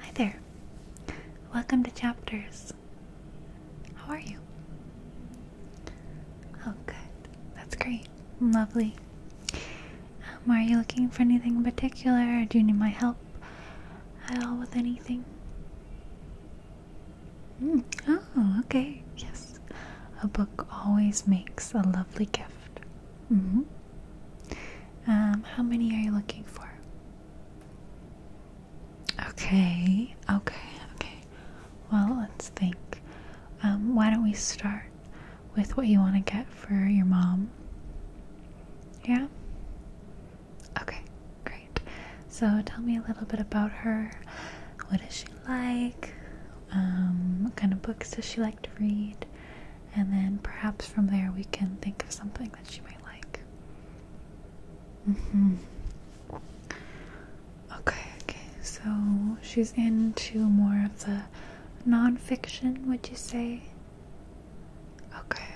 Hi there. Welcome to Chapters. How are you? Oh, good. That's great. Lovely. Um, are you looking for anything in particular, or do you need my help at all with anything? Hmm. Oh, okay. Yes. A book always makes a lovely gift. Mm-hmm. Um, how many are you looking for? Okay, okay, okay. Well, let's think. Um, why don't we start with what you want to get for your mom? Yeah? Okay, great. So tell me a little bit about her. What does she like? Um, what kind of books does she like to read? And then perhaps from there we can think of something that she might like. Mm hmm Okay, okay, so she's into more of the nonfiction, would you say? Okay.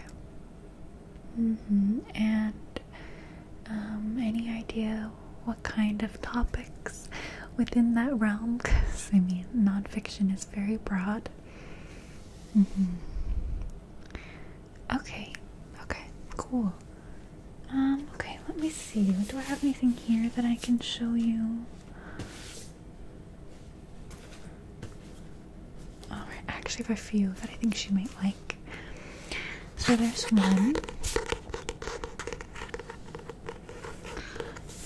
Mm hmm And um, any idea what kind of topics within that realm? Because I mean, nonfiction is very broad. Mm-hmm. Okay, okay, cool. Um, okay, let me see. Do I have anything here that I can show you? Alright, oh, I actually have a few that I think she might like. So there's one.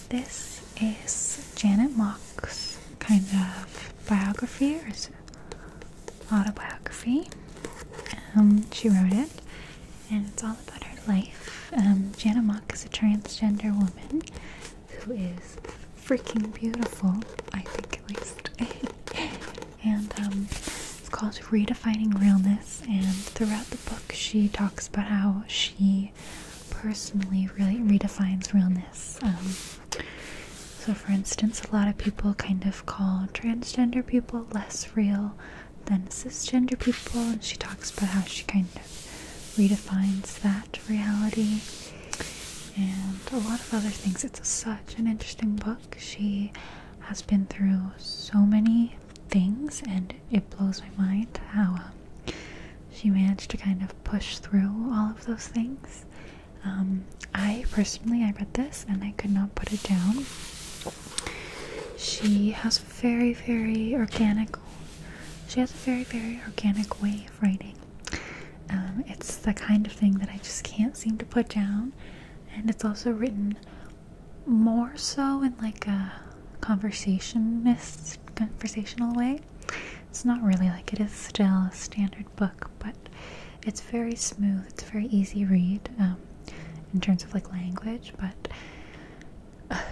This is Janet Mock's kind of biography or autobiography. Um, she wrote it, and it's all about her life. Um, Jana Mock is a transgender woman who is freaking beautiful, I think at least. and um, it's called Redefining Realness, and throughout the book, she talks about how she personally really redefines realness. Um, so, for instance, a lot of people kind of call transgender people less real than cisgender people, and she talks about how she kind of redefines that reality and a lot of other things. It's such an interesting book. She has been through so many things, and it blows my mind how um, she managed to kind of push through all of those things um, I personally, I read this and I could not put it down. She has very, very organic. She has a very, very organic way of writing. Um, it's the kind of thing that I just can't seem to put down, and it's also written more so in like a conversationist, conversational way. It's not really like it is still a standard book, but it's very smooth. It's very easy read um, in terms of like language, but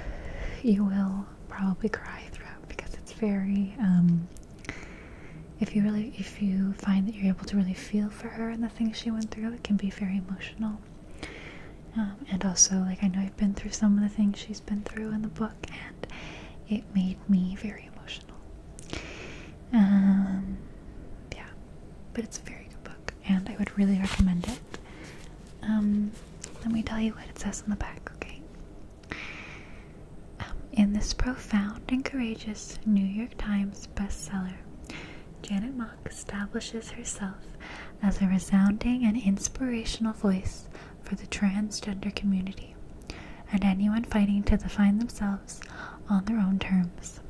you will probably cry throughout because it's very. Um, if you really, if you find that you're able to really feel for her and the things she went through, it can be very emotional. Um, and also, like I know I've been through some of the things she's been through in the book, and it made me very emotional um, yeah, but it's a very good book, and I would really recommend it. Um, let me tell you what it says on the back, okay? Um, in this profound and courageous New York Times bestseller, Janet Mock establishes herself as a resounding and inspirational voice for the transgender community and anyone fighting to define themselves on their own terms.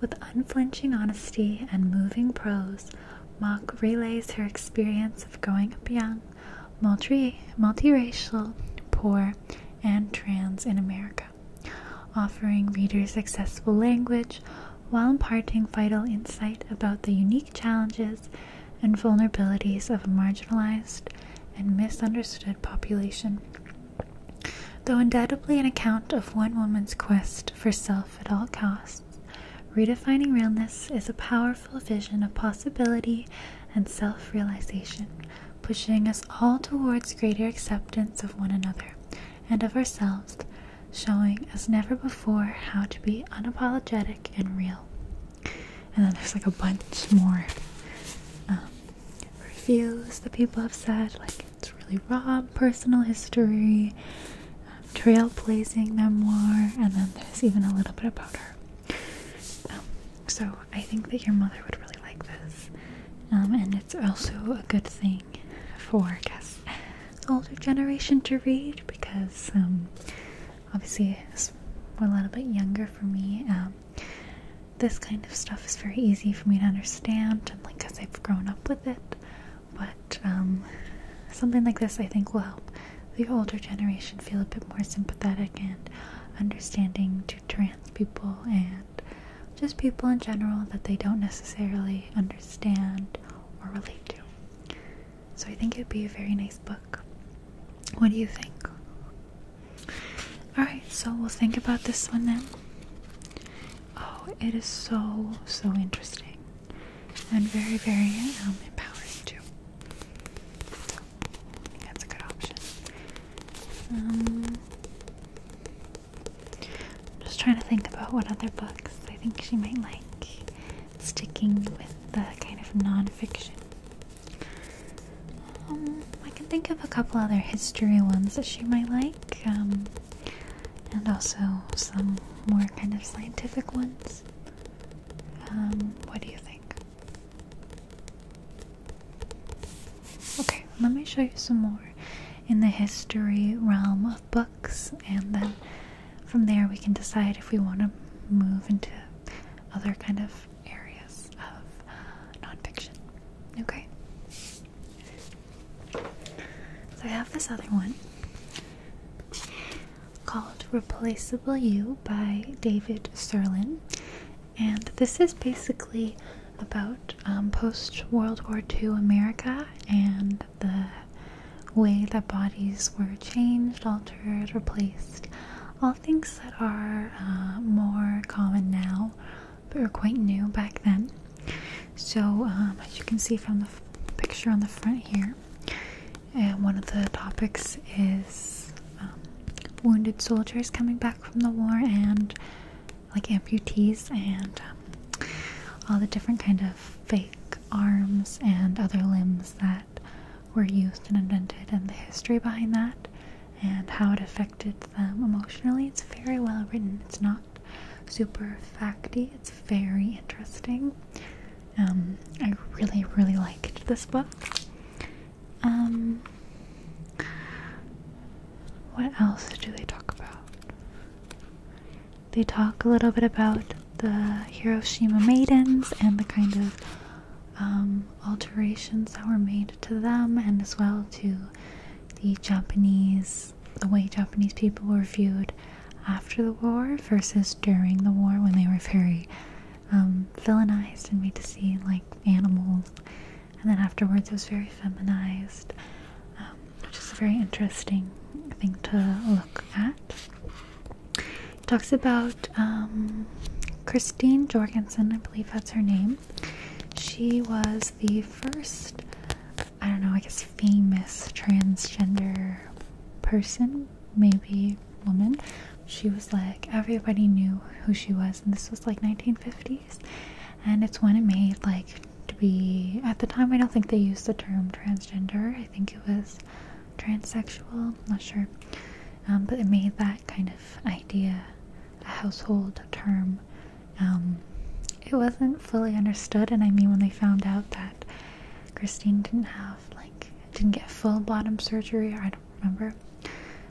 With unflinching honesty and moving prose, Mock relays her experience of growing up young, multi multiracial, poor, and trans in America, offering readers accessible language while imparting vital insight about the unique challenges and vulnerabilities of a marginalized and misunderstood population. Though undoubtedly an account of one woman's quest for self at all costs, Redefining Realness is a powerful vision of possibility and self realization, pushing us all towards greater acceptance of one another and of ourselves, showing as never before how to be unapologetic and real. And then there's like a bunch more um, reviews that people have said, like it's really raw, personal history, um, trailblazing memoir, and then there's even a little bit about her. Um, so I think that your mother would really like this, and it's also a good thing for, I guess, older generation to read because um, obviously it's a little bit younger for me. This kind of stuff is very easy for me to understand, and like, cause I've grown up with it. But um, something like this, I think, will help the older generation feel a bit more sympathetic and understanding to trans people and just people in general that they don't necessarily understand or relate to. So I think it'd be a very nice book. What do you think? Alright, so we'll think about this one then. Oh, it is so, so interesting. And very, very um, empowering too. that's a good option. I'm um, just trying to think about what other books I think she might like. Sticking with the kind of nonfiction um, I can think of a couple other history ones that she might like, um, and also some more kind of scientific ones. Um, what do you think? Okay, let me show you some more in the history realm of books, and then from there we can decide if we want to move into other kind of areas of uh, nonfiction. Okay? So I have this other one called Replaceable You by David Serlin. And this is basically about um, post World War II America and the way that bodies were changed, altered, replaced, things that are uh, more common now but were quite new back then. So, um, as you can see from the picture on the front here, and one of the topics is um, wounded soldiers coming back from the war and like amputees and um, all the different kind of fake arms and other limbs that were used and invented and the history behind that and how it affected them emotionally. It's very well written. It's not super facty. It's very interesting. Um, I really, really liked this book. Um, what else do they talk about? They talk a little bit about the Hiroshima maidens and the kind of um, alterations that were made to them and as well to the Japanese, the way Japanese people were viewed after the war versus during the war when they were very um, villainized and made to see like animals. And then afterwards was very feminized, um, which is a very interesting thing to look at. It talks about um, Christine Jorgensen, I believe that's her name. She was the first, I don't know, I guess famous transgender person, maybe woman. She was like, everybody knew who she was, and this was like 1950s. And it's when it made, like, to be, at the time, I don't think they used the term transgender, I think it was transsexual, I'm not sure. Um, but it made that kind of idea, a household term. Um, it wasn't fully understood, and I mean, when they found out that Christine didn't have, like, didn't get full bottom surgery, I don't remember,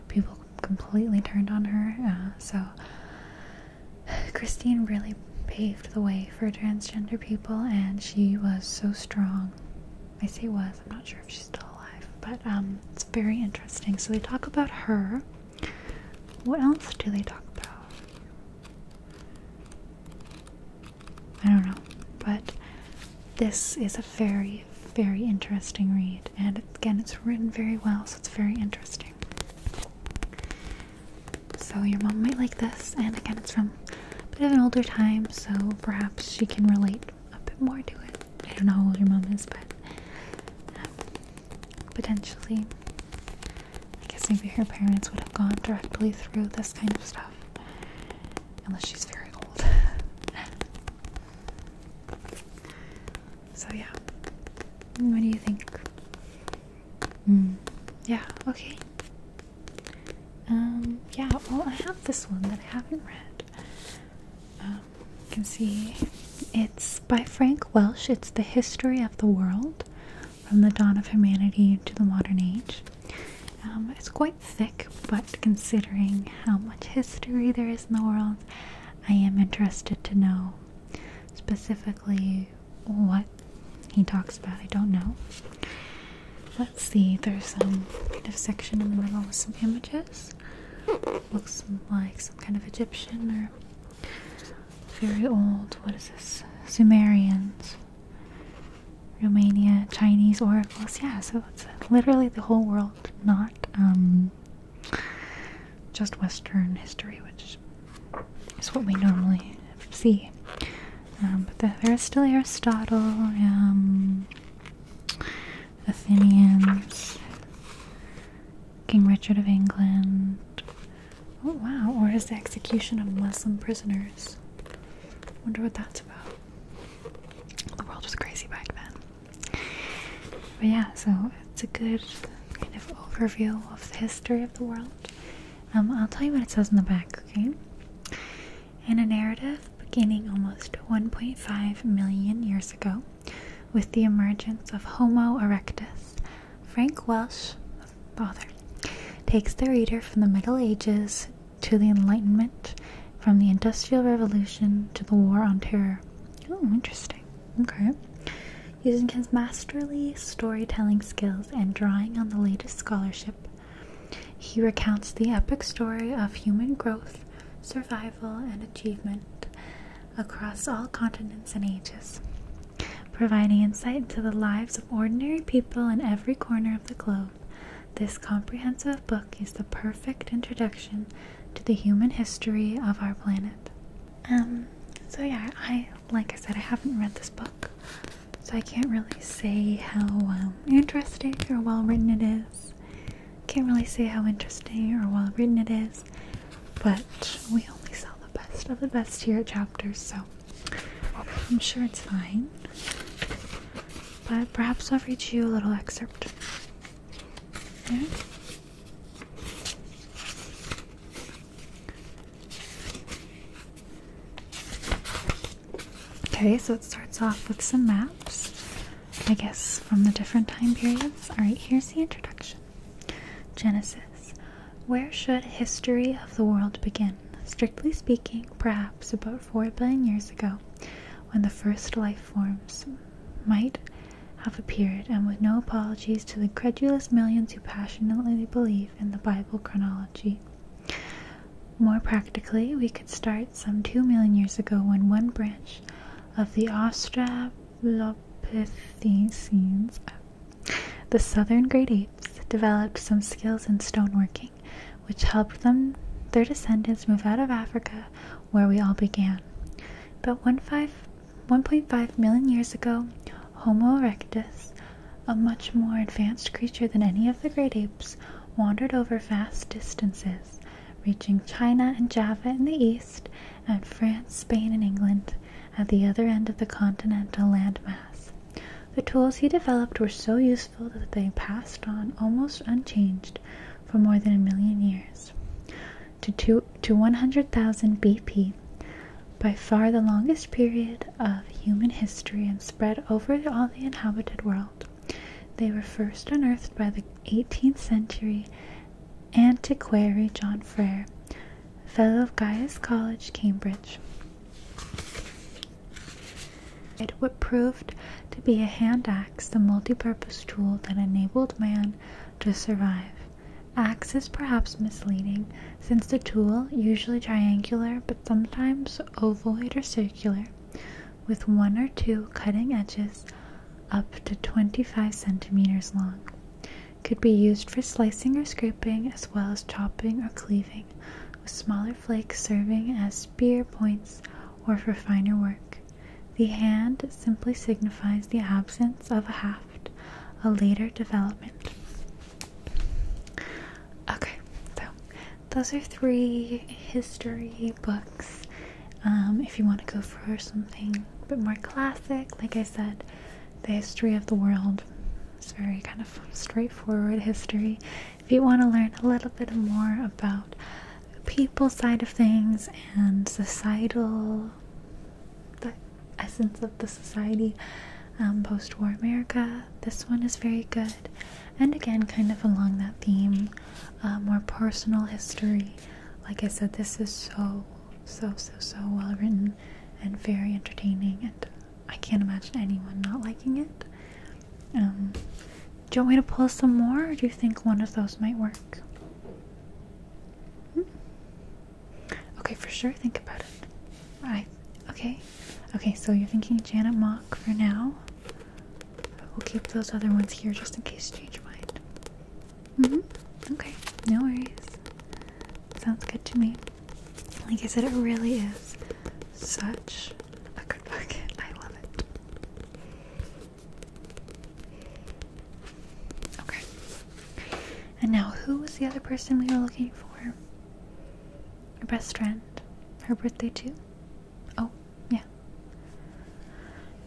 people completely turned on her. Uh, so, Christine really paved the way for transgender people, and she was so strong I say was, I'm not sure if she's still alive, but um, it's very interesting. So they talk about her. What else do they talk about? I don't know, but this is a very, very interesting read, and again, it's written very well, so it's very interesting. So your mom might like this, and again, it's from a bit of an older time, so perhaps she can relate a bit more to it. I don't know how old your mom is, but um, potentially, I guess maybe her parents would have gone directly through this kind of stuff, unless she's very old. so, yeah, what do you think? Hmm. Yeah, okay. Um, yeah, well, I have this one that I haven't read. Um, you can see it's by Frank Welsh. It's the history of the world from the dawn of humanity to the modern age. Um, it's quite thick, but considering how much history there is in the world, I am interested to know specifically what he talks about. I don't know. Let's see, there's some kind of section in the middle with some images. Looks like some kind of Egyptian or very old. What is this? Sumerians, Romania, Chinese oracles. Yeah, so it's literally the whole world, not um, just Western history, which is what we normally see. Um, but there's still Aristotle. Um, Athenians, King Richard of England. Oh wow, Or is the execution of Muslim prisoners. Wonder what that's about. The world was crazy back then. But yeah, so it's a good kind of overview of the history of the world. Um, I'll tell you what it says in the back, okay? In a narrative, beginning almost 1.5 million years ago with the emergence of Homo erectus. Frank Welsh, father, takes the reader from the Middle Ages to the Enlightenment, from the Industrial Revolution to the War on Terror. Oh, interesting. Okay. Using his masterly storytelling skills and drawing on the latest scholarship, he recounts the epic story of human growth, survival, and achievement across all continents and ages, providing insight into the lives of ordinary people in every corner of the globe. This comprehensive book is the perfect introduction to the human history of our planet. Um, so yeah, I like I said, I haven't read this book, so I can't really say how um, interesting or well written it is. Can't really say how interesting or well written it is, but we only sell the best of the best here at Chapters, so I'm sure it's fine. But perhaps I'll read you a little excerpt. Okay, so it starts off with some maps. I guess, from the different time periods. Alright, here's the introduction Genesis. Where should history of the world begin? Strictly speaking, perhaps about 4 billion years ago, when the first life forms might have appeared, and with no apologies to the credulous millions who passionately believe in the Bible chronology. More practically, we could start some 2 million years ago when one branch of the Australopithecines. The southern great apes developed some skills in stone working, which helped them their descendants move out of Africa where we all began. But 1.5 million years ago, Homo erectus, a much more advanced creature than any of the great apes, wandered over vast distances reaching China and Java in the east, and France, Spain, and England at the other end of the continental landmass. The tools he developed were so useful that they passed on almost unchanged for more than a million years. To, two, to 100,000 BP, by far the longest period of human history and spread over all the inhabited world. They were first unearthed by the 18th century Antiquary John Frere, Fellow of Gaius College, Cambridge. It would proved to be a hand axe, the multi-purpose tool that enabled man to survive. Axe is perhaps misleading, since the tool, usually triangular but sometimes ovoid or circular, with one or two cutting edges up to 25 centimeters long. Could be used for slicing or scraping as well as chopping or cleaving, with smaller flakes serving as spear points or for finer work. The hand simply signifies the absence of a haft, a later development. Okay, so those are three history books um, if you want to go for something a bit more classic, like I said, the history of the world is very kind of straightforward history. If you want to learn a little bit more about the people side of things and societal, the essence of the society, um, post war America, this one is very good. And again, kind of along that theme more personal history. Like I said, this is so, so, so, so well written and very entertaining, and I can't imagine anyone not liking it. Um, do you want me to pull some more, or do you think one of those might work? Hmm? Okay, for sure, think about it. Right. okay, okay. So you're thinking Janet Mock for now. We'll keep those other ones here just in case you change your mind. Mm hmm Okay, no worries. Sounds good to me. Like I said, it really is such a good book. I love it. Okay. And now, who was the other person we were looking for? Her best friend. Her birthday, too? Oh, yeah.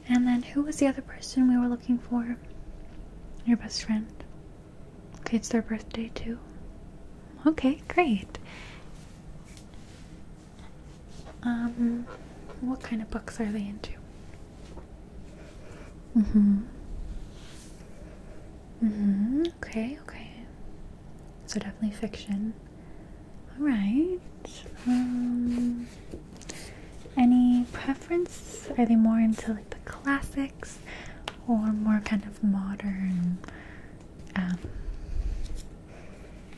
And then who was the other person we were looking for? Your best friend. Okay, it's their birthday too. Okay, great. Um, what kind of books are they into? Mm hmm. Mm hmm. Okay, okay. So definitely fiction. Alright. Um, any preference? Are they more into like the classics or more kind of modern? Um,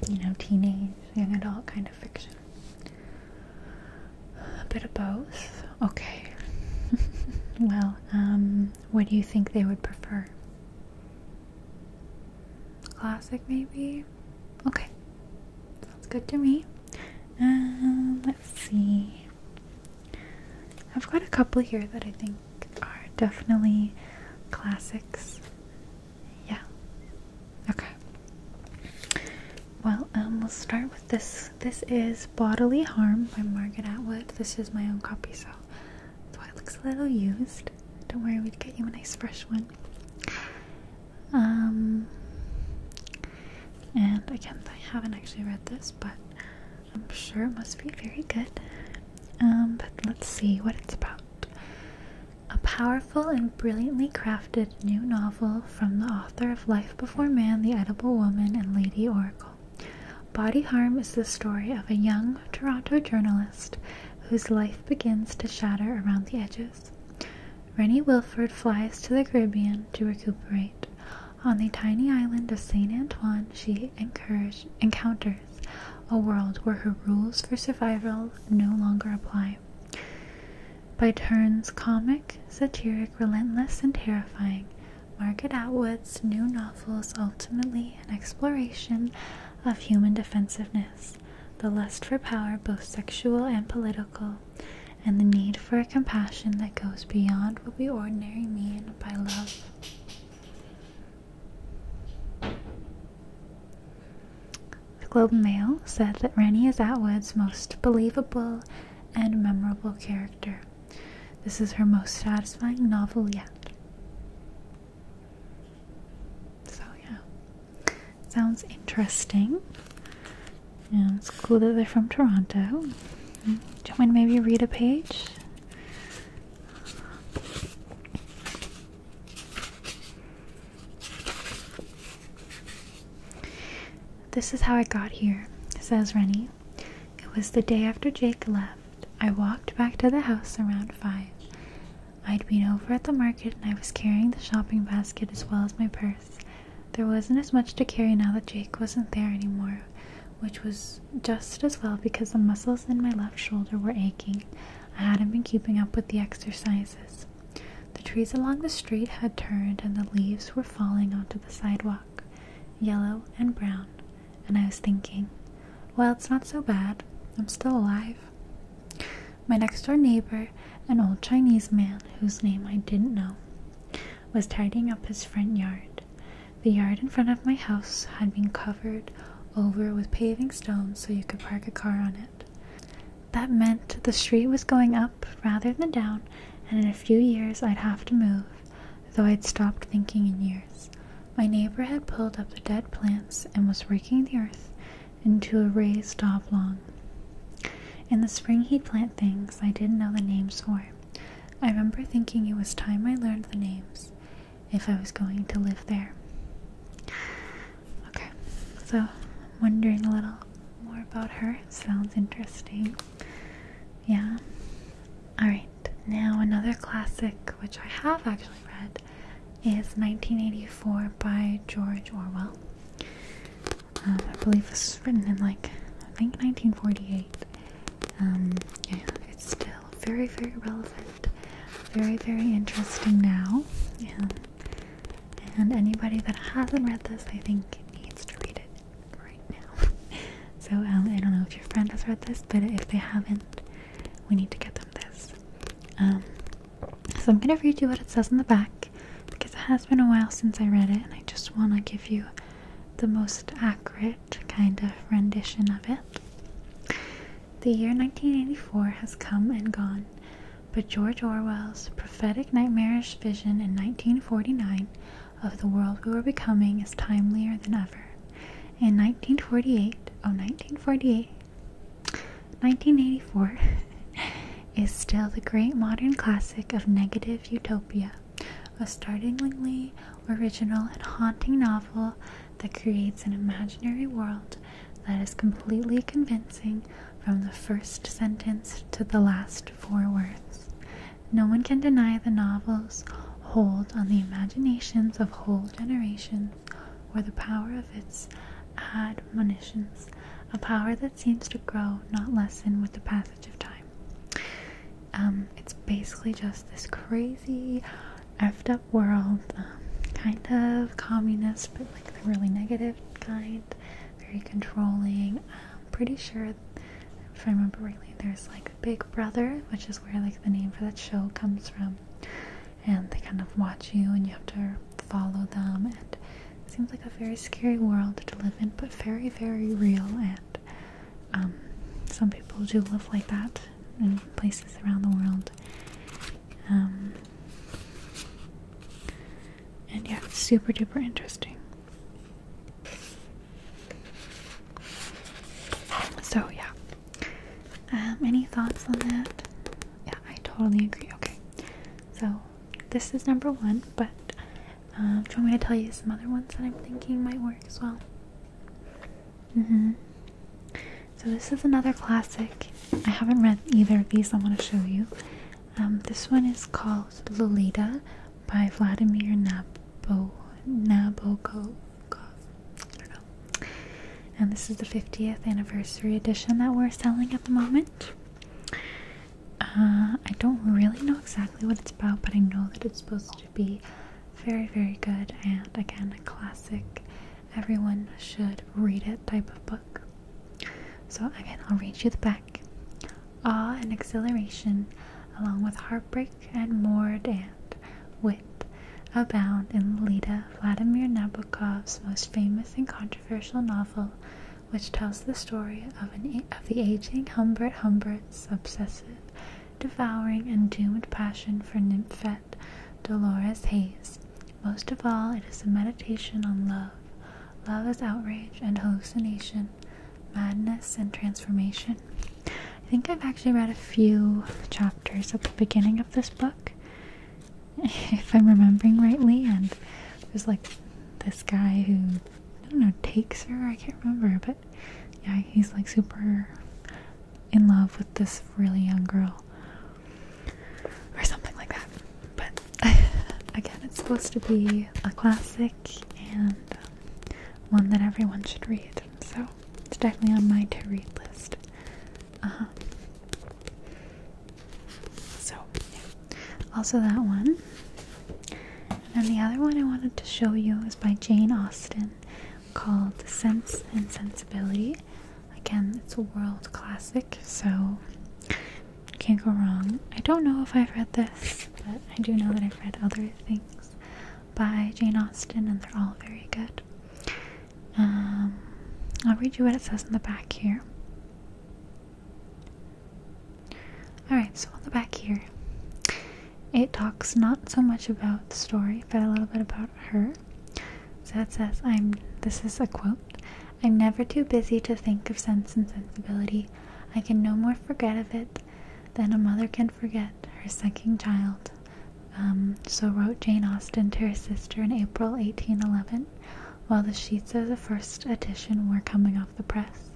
you know, teenage, young adult kind of fiction. A bit of both. Okay. well, um, what do you think they would prefer? Classic, maybe? Okay. Sounds good to me. Um, let's see. I've got a couple here that I think are definitely classics. Yeah. Okay. Well, um, we'll start with this. This is Bodily Harm by Margaret Atwood. This is my own copy, so that's why it looks a little used. Don't worry, we'd get you a nice fresh one. Um, and again, I haven't actually read this, but I'm sure it must be very good. Um, but let's see what it's about. A powerful and brilliantly crafted new novel from the author of Life Before Man, The Edible Woman, and Lady Oracle. Body Harm is the story of a young Toronto journalist whose life begins to shatter around the edges Paris. Rennie Wilford flies to the Caribbean to recuperate. On the tiny island of St. Antoine, she encounters a world where her rules for survival no longer apply. By turns comic, satiric, relentless, and terrifying, Margaret Atwood's new novel is ultimately an exploration of human defensiveness, the lust for power, both sexual and political, and the need for a compassion that goes beyond what we ordinarily mean by love. The Globe and Mail said that Rennie is Atwood's most believable and memorable character. This is her most satisfying novel yet. So, yeah. Sounds interesting. Yeah, it's cool that they're from Toronto. Do you want to maybe read a page? This is how I got here, says Rennie. It was the day after Jake left. I walked back to the house around five. I'd been over at the market and I was carrying the shopping basket as well as my purse. There wasn't as much to carry now that Jake wasn't there anymore, which was just as well because the muscles in my left shoulder were aching. I hadn't been keeping up with the exercises. The trees along the street had turned and the leaves were falling onto the sidewalk, yellow and brown, and I was thinking, well, it's not so bad. I'm still alive. My next door neighbor, an old Chinese man whose name I didn't know, was tidying up his front yard. The yard in front of my house had been covered over with paving stones so you could park a car on it. That meant the street was going up rather than down, and in a few years I'd have to move, though I'd stopped thinking in years. My neighbor had pulled up the dead plants and was raking the earth into a raised oblong. In the spring, he'd plant things I didn't know the names for. I remember thinking it was time I learned the names if I was going to live there. Okay, so wondering a little more about her. Sounds interesting. Yeah. Alright, now another classic which I have actually read is 1984 by George Orwell. Uh, I believe this was written in like I think 1948. Um, it's still very, very relevant, very, very interesting now. And anybody that hasn't read this, I think, needs to read it right now. so um, I don't know if your friend has read this, but if they haven't, we need to get them this. Um, so I'm going to read you what it says in the back because it has been a while since I read it and I just want to give you the most accurate kind of rendition of it. The year 1984 has come and gone, but George Orwell's prophetic nightmarish vision in 1949 of the world we were becoming is timelier than ever. In 1948, oh 1948, 1984 is still the great modern classic of negative utopia, a startlingly original and haunting novel that creates an imaginary world that is completely convincing from the first sentence to the last four words. No one can deny the novel's hold on the imaginations of whole generations or the power of its admonitions, a power that seems to grow, not lessen, with the passage of time. Um, it's basically just this crazy, effed up world, um, kind of communist, but like the really negative kind, very controlling. I'm um, pretty sure, if I remember rightly, there's like Big Brother, which is where like the name for that show comes from, and they kind of watch you, and you have to follow them and it seems like a very scary world to live in but very very real and um, some people do live like that in places around the world um, and yeah super duper interesting so yeah um, any thoughts on that yeah I totally agree okay so this is number one, but um, do you want me to tell you some other ones that I'm thinking might work as well? Mm-hmm. So, this is another classic. I haven't read either of these, I want to show you. Um, this one is called Lolita by Vladimir Nabokov. And this is the 50th anniversary edition that we're selling at the moment. Uh, I don't really know exactly what it's about, but I know that it's supposed to be very, very good and again, a classic, everyone should read it type of book. So, again, I'll read you the back. Awe and exhilaration, along with heartbreak and morbid and wit, abound in Lida, Vladimir Nabokov's most famous and controversial novel, which tells the story of, the aging Humbert Humbert's obsessive, devouring, and doomed passion for nymphette Dolores Hayes. Most of all, it is a meditation on love. Love is outrage and hallucination, madness and transformation. I think I've actually read a few chapters at the beginning of this book, if I'm remembering rightly, and it was like this guy who I don't know takes her. I can't remember, but yeah, he's like super in love with this really young girl or something like that. But again, it's supposed to be a classic and um, one that everyone should read. So it's definitely on my to read list. Uh -huh. So, Also, that one. And the other one I wanted to show you is by Jane Austen called Sense and Sensibility. Again, it's a world classic, so can't go wrong. I don't know if I've read this, but I do know that I've read other things by Jane Austen, and they're all very good. Um, I'll read you what it says in the back here. Alright, so on the back here, it talks not so much about the story, but a little bit about her. So it says, I'm this is a quote. I'm never too busy to think of sense and sensibility. I can no more forget of it than a mother can forget her sucking child. Um, so wrote Jane Austen to her sister in April 1811, while the sheets of the first edition were coming the press.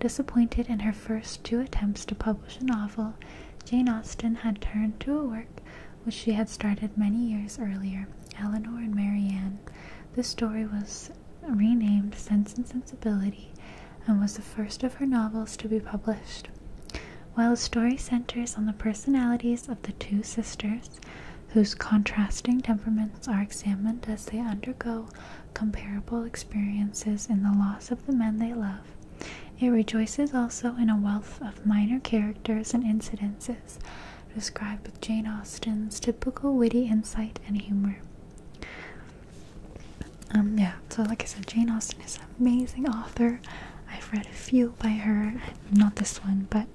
Disappointed in her first two attempts to publish a novel, Jane Austen had turned to a work which she had started many years earlier, Eleanor and Marianne. This story was renamed Sense and Sensibility and was the first of her novels to be published. While the story centers on the personalities of the two sisters, whose contrasting temperaments are examined as they undergo comparable experiences in the loss of the men they love. It rejoices also in a wealth of minor characters and incidences described with Jane Austen's typical witty insight and humor. Um, yeah, so like I said, Jane Austen is an amazing author. I've read a few by her, not this one, but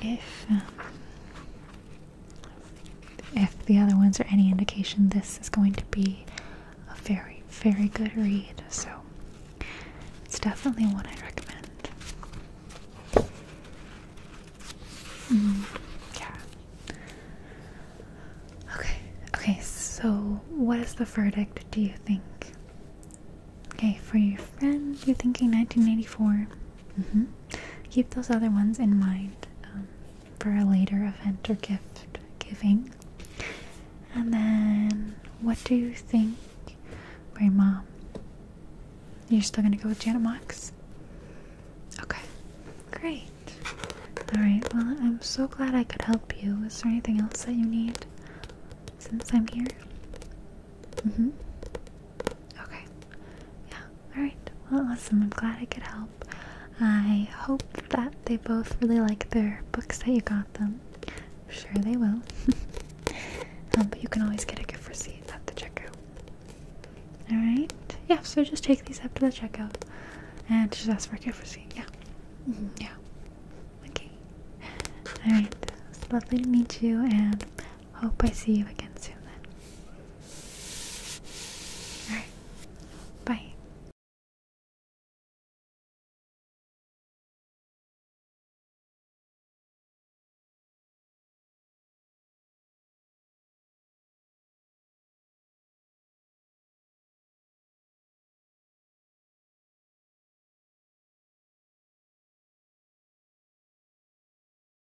if um, if the other ones are any indication, this is going to be a very, very good read. So it's definitely one I recommend. Mm, yeah. Okay. Okay. So, what is the verdict? Do you think? Okay, for your friend, you're thinking 1984. Mm -hmm. Keep those other ones in mind um, for a later event or gift giving. And then, what do you think for mom? You're still gonna go with Janet Max? Okay, great. Alright, well, I'm so glad I could help you. Is there anything else that you need since I'm here? Mm hmm. Okay. Yeah. Alright. Well, awesome. I'm glad I could help. I hope that they both really like their books that you got them. sure they will. um, but you can always get a gift receipt at the checkout. Alright. Yeah, so just take these up to the checkout and just ask for a gift receipt. Yeah. Mm-hmm. Yeah. Okay. Alright. It's lovely to meet you and Hope I see you again soon then. Alright, bye.